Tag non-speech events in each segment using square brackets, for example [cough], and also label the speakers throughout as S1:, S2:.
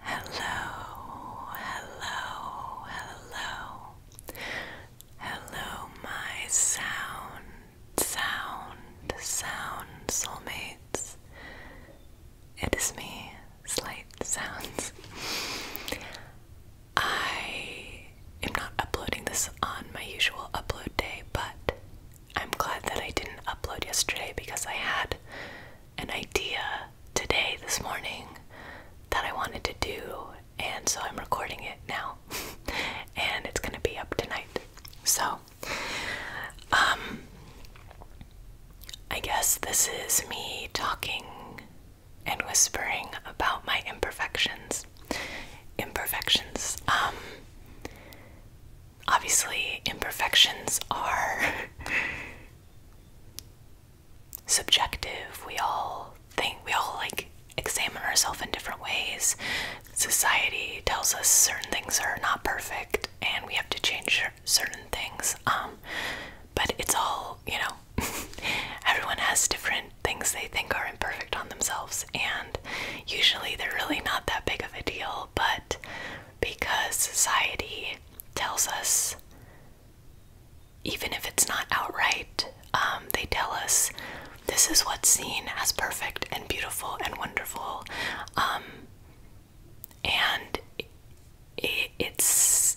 S1: Hello, hello, hello. Hello, my sound, sound, sound soulmates. It is me, Slight Sounds. I am not uploading this on my usual upload day, but I'm glad that I didn't upload yesterday because I had an idea today, this morning, that I wanted to do, and so I'm recording it now. [laughs] and it's gonna be up tonight. So, um, I guess this is me talking and whispering about my imperfections. Imperfections. Um, obviously, imperfections are [laughs] subjective. We all think, we all like examine ourselves in different ways. Society tells us certain things are not perfect and we have to change certain things. Um, but it's all, you know, [laughs] everyone has different things they think are imperfect on themselves, and usually they're really not that big of a deal, but because society tells us, even if it's not outright, um, they tell us this is what's seen as perfect and beautiful and wonderful. Um, and it, it's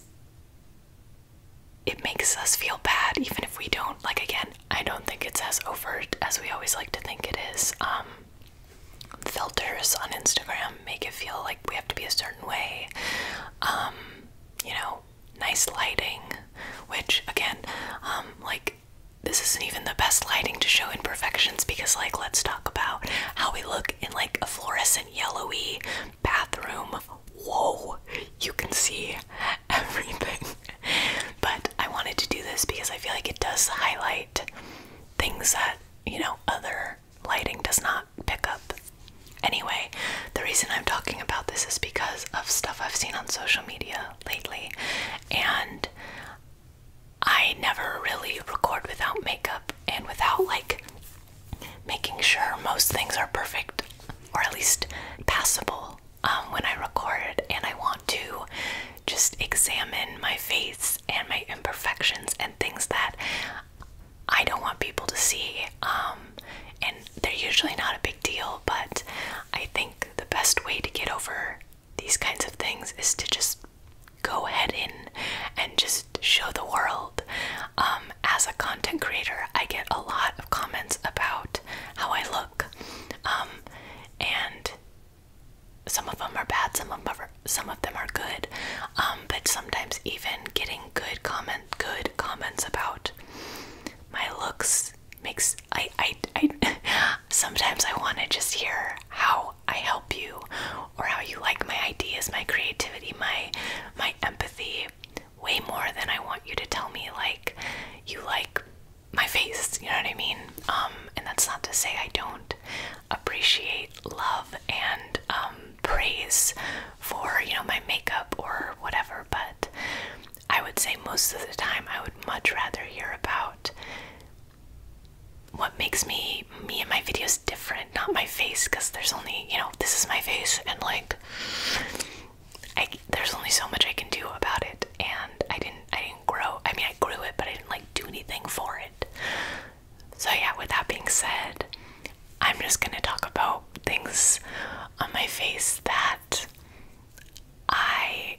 S1: it makes us feel bad even if we don't like again i don't think it's as overt as we always like to think it is um, filters on Instagram make it feel like we have to be a certain way. Um, you know, nice lighting, which again, um, like this isn't even the best lighting to show imperfections because like let's talk about how we look in like a fluorescent yellowy bathroom. Whoa, you can see [laughs] everything. but I wanted to do this because I feel like it does highlight things that, you know, other lighting does not pick up. Anyway, the reason I'm talking about this is because of stuff I've seen on social media lately, and I never really record without makeup and without like making sure most things are perfect or at least passable um, when I record, and I want to just examine my face and my imperfections and things that I don't want people to see. Um, and they're usually not a big deal, but I think the best way to get over these kinds of things is to just go ahead in and just show the world. Um, as a content creator, I get a lot of comments about how I look. Um, and some of them are bad, some of them are, some of them are good. Um, but sometimes even getting good comment, good comments about my looks makes I I I [laughs] sometimes I want to just hear how I help you or how you like my ideas, my creativity, my my empathy way more than I want you to tell me like you like my face, you know what I mean? Um, and that's not to say I don't appreciate love and um, praise for, you know, my makeup or whatever, but I would say most of the time I would much rather hear about what makes me me and my videos different, not my face, because there's only, you know, this is my face and like I there's only so much I can do about it and I didn't I didn't grow. I mean, I grew it, but I didn't like do anything for it. So yeah, with that being said, I'm just gonna talk about things on my face that I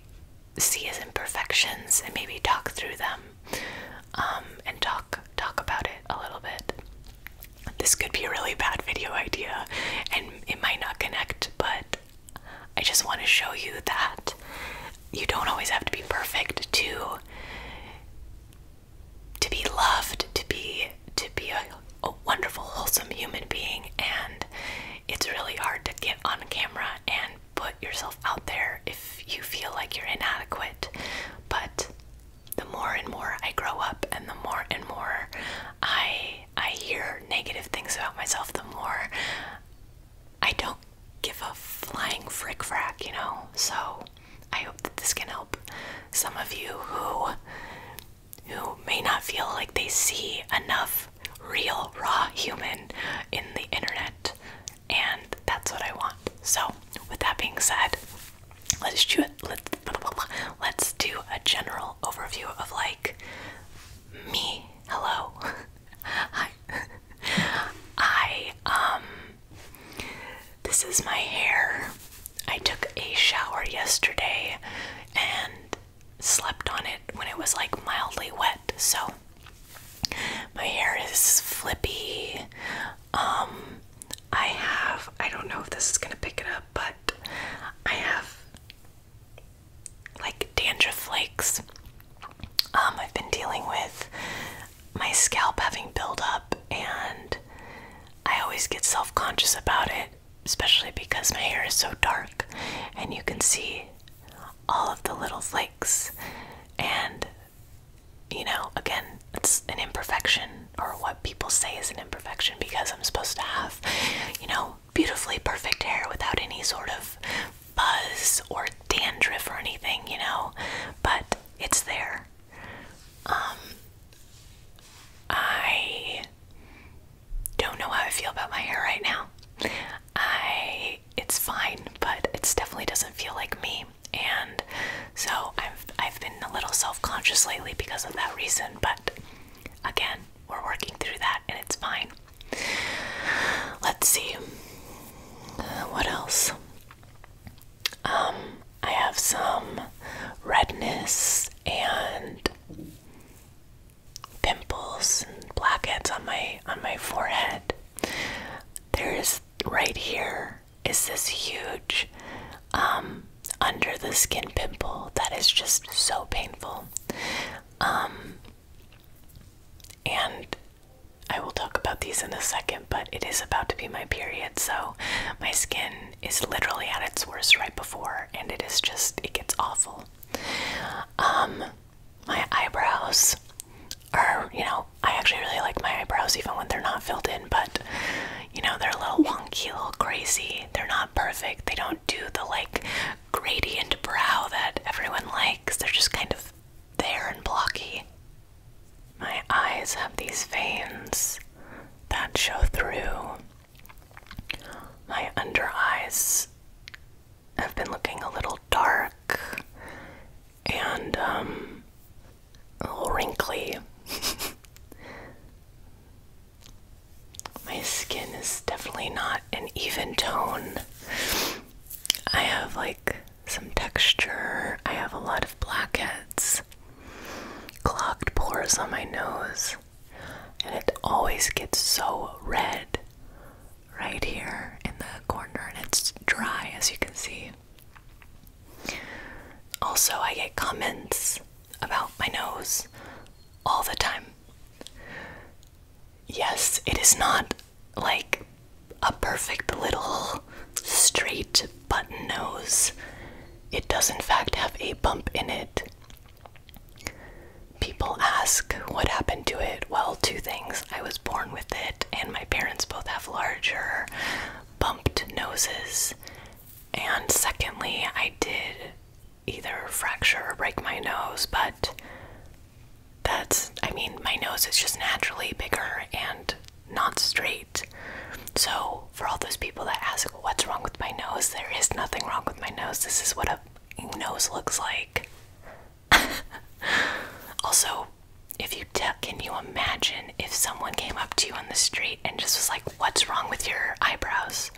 S1: see as imperfections and maybe talk through them um, and talk talk about it a little bit. This could be a really bad video idea and it might not connect, but I just want to show you that you don't always have to be perfect to to be loved, to be to be a, wonderful, wholesome human being and it's really hard to get on camera and put yourself out there if you feel like you're inadequate. But the more and more I grow up and the more and more I I hear negative things about myself, the more I don't give a flying frick frack, you know. So I hope that this can help some of you who who may not feel like they see enough real raw human in the internet and that's what I want. So with that being said, let's do it let's, let's do a general overview of like me. Hello. [laughs] I um this is my hair. I took a shower yesterday and slept on it when it was like mildly wet. So my hair is flippy. Um, I have I don't know if this is going to pick it up, but I have like dandruff flakes. Um, I've been dealing with my scalp having buildup, and I always get self conscious about it, especially because my hair is so dark and you can see all of the little flakes. And, you know, again, it's an imperfection, or what people say is an imperfection because I'm supposed to have, you know, beautifully perfect hair without any sort of buzz or dandruff or anything, you know, but it's there. Um, I don't know how I feel about my hair right now. I it's fine, but it definitely doesn't feel like me, and so I've I've been a little self-conscious lately because of that reason. But again, we're working through that and it's fine. Let's see. Uh, what else? Um, I have some redness and pimples and blackheads on my on my forehead. There's right here is this huge um, under the skin pimple that is just so painful. Um, and I will talk about these in a second, but it is about to be my period, so my skin is literally at its worst right before, and it is just, it gets awful. Um, my eyebrows are, you know, I actually really like my eyebrows even when they're not filled in, but you know, they're a little wonky, a little crazy. They're not perfect. They don't do the like gradient brow that everyone likes. They're just kind of there and blocky. My eyes have these veins that show through. My under eyes have been looking a little dark and um, a little wrinkly. [laughs] My skin is definitely not an even tone. I have like some texture, I have a lot of blackheads, clogged pores on my nose, and it always gets so red right here in the corner, and it's dry as you can see. Also, I get comments about my nose all the time. Yes, it is not like a perfect little straight button nose. It does, in fact, have a bump in it. People ask what happened to it. Well, two things. I was born with it, and my parents both have larger bumped noses. And secondly, I did either fracture or break my nose, but that's, I mean, my nose is just naturally bigger and not straight. So, for all those people that ask, what's wrong with my nose? There is nothing wrong with my nose. This is what a nose looks like. [laughs] also, if you can you imagine if someone came up to you on the street and just was like, What's wrong with your eyebrows?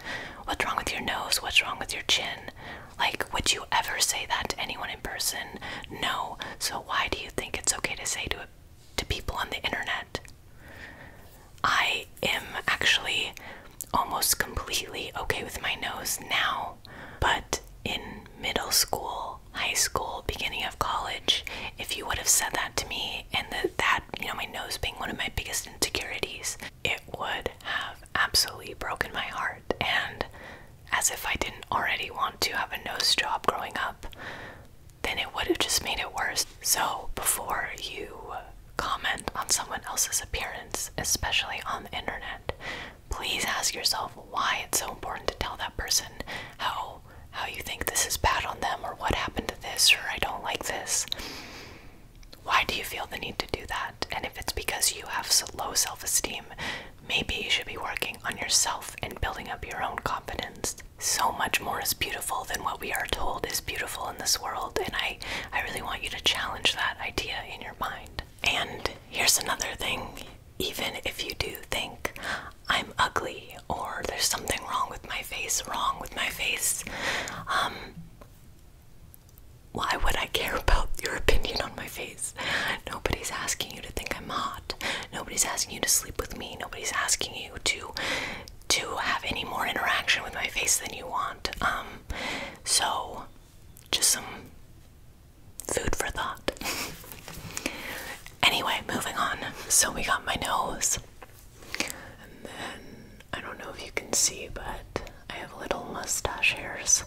S1: What's wrong with your nose? What's wrong with your chin? Like, would you ever say that to anyone in person? No. So, why do you think it's okay to say to, to people on the internet? I am actually almost completely okay with my nose now, but in middle school, high school, beginning of college, if you would have said that to me, and that, you know, my nose being one of my biggest insecurities, it would have absolutely broken my heart. And as if I didn't already want to have a nose job growing up, then it would have just made it worse. So before you comment on someone else's appearance, especially on the internet, please ask yourself why it's so important to tell that person how how you think this is bad on them or what happened to this or I don't like this. Why do you feel the need to do that? And if it's because you have low self esteem, maybe you should be working on yourself and building up your own confidence. So much more is beautiful than what we are told is beautiful in this world, and I, I really want you to challenge that idea in your mind. And here's another thing even if you do think, I'm ugly or there's something wrong with my face, wrong with my face. Um, why would I care about [laughs] your opinion on my face? Nobody's asking you to think I'm hot. Nobody's asking you to sleep with me. Nobody's asking you to to have any more interaction with my face than you want. Um, so just some food for thought. [laughs] Anyway, moving on. So we got my nose. And then I don't know if you can see, but I have little mustache hairs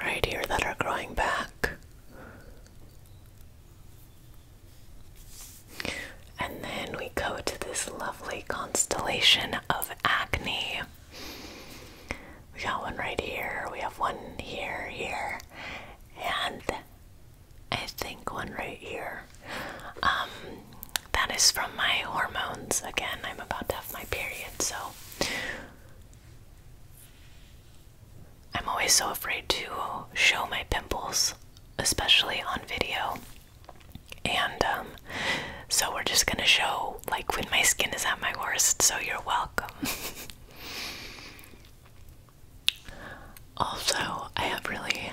S1: right here that are growing back. And then we go to this lovely constellation of acne. We got one right here, we have one here, here, and I think one right here. Um, that is from my hormones. Again, I'm about to have my period, so I'm always so afraid to show my pimples, especially on video. And um, so we're just gonna show like when my skin is at my worst, so you're welcome also, I have really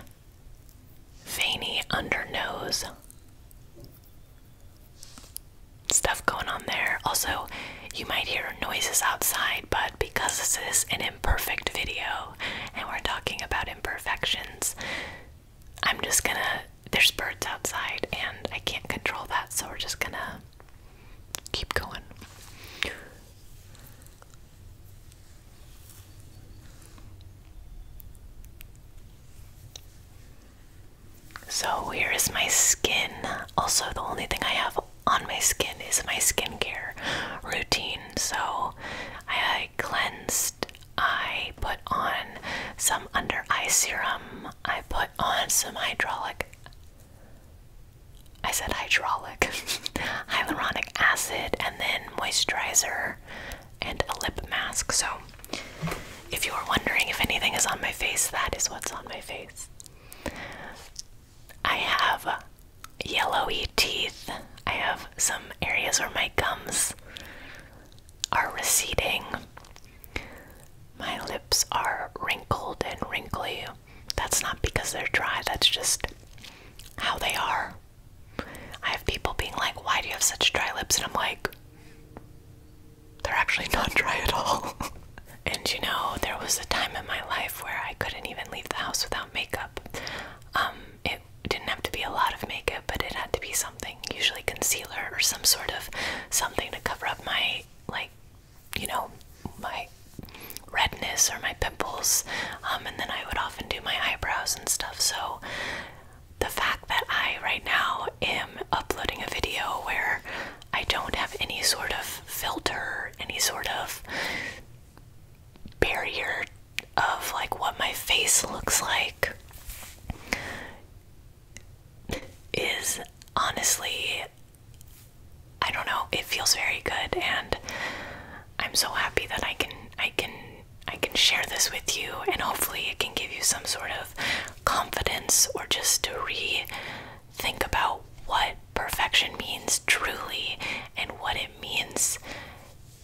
S1: veiny under nose stuff going on there. Also, you might hear noises outside, but because this is an imperfect video and we're talking about imperfections, I'm just gonna there's birds outside and I can't control that, so we're just gonna keep going. So, here is my skin. Also, the only thing I have on my skin is my skincare routine. So, I cleansed, I put on some under eye serum, I put on some hydraulic. I said hydraulic, [laughs] hyaluronic acid, and then moisturizer and a lip mask. So, if you were wondering if anything is on my face, that is what's on my face. I have yellowy teeth. I have some areas where my gums are receding. My lips are wrinkled and wrinkly. That's not because they're dry, that's just how they are. I have people being like, Why do you have such dry lips? And I'm like, They're actually not dry at all. [laughs] and you know, there was a time in my life where I couldn't even leave the house without makeup. Um, it didn't have to be a lot of makeup, but it had to be something usually concealer or some sort of something to cover up my, like, you know, my redness or my pimples. Um, and then I would often do my eyebrows and stuff. So the fact that I right now am uploading a video where I don't have any sort of filter, any sort of barrier of like what my face looks like is honestly, I don't know, it feels very good and I'm so happy that I can I can I can share this with you and hopefully it can give you some sort of confidence or just to re think about what perfection means truly and what it means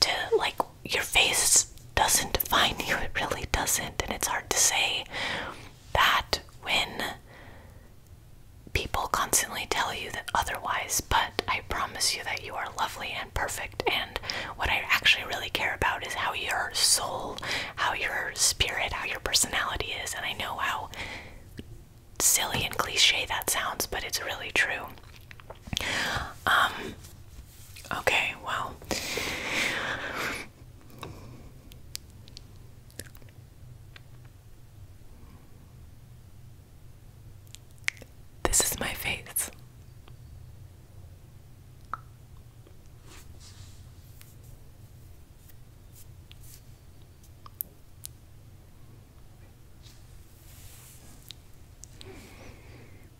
S1: to like your face doesn't define you, it really doesn't. And it's hard to say that when people constantly tell you that otherwise, but I promise you that you are lovely and perfect. And what I actually really care about is how your soul, how your spirit, how your personality is. And I know how silly and cliche that sounds, but it's really true. Um, Okay, well. This is my face.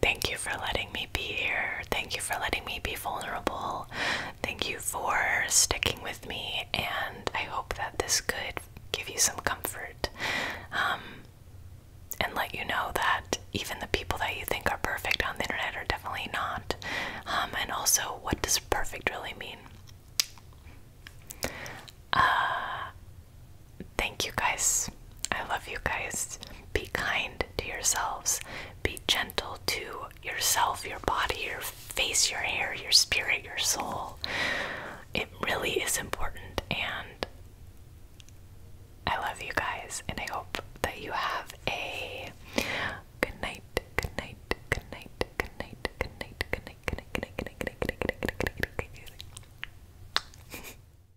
S1: Thank you for letting me be here. Thank you for letting me be vulnerable. Thank you for sticking with me, and I hope that this could give you some comfort um, and let you know that even the people that you think are perfect on the internet are definitely not. Um, and also, what does perfect really mean? Uh, thank you guys. I love you guys. Be kind to yourselves. Be gentle to yourself, your body, your face, your hair, your spirit, your soul. It really is important. And I love you guys. And I hope that you have a good night. Good night. Good night. Good night. Good night. Good night. Good night. Good night. Good night. Good night. Good night. Good night. Good night. Good night.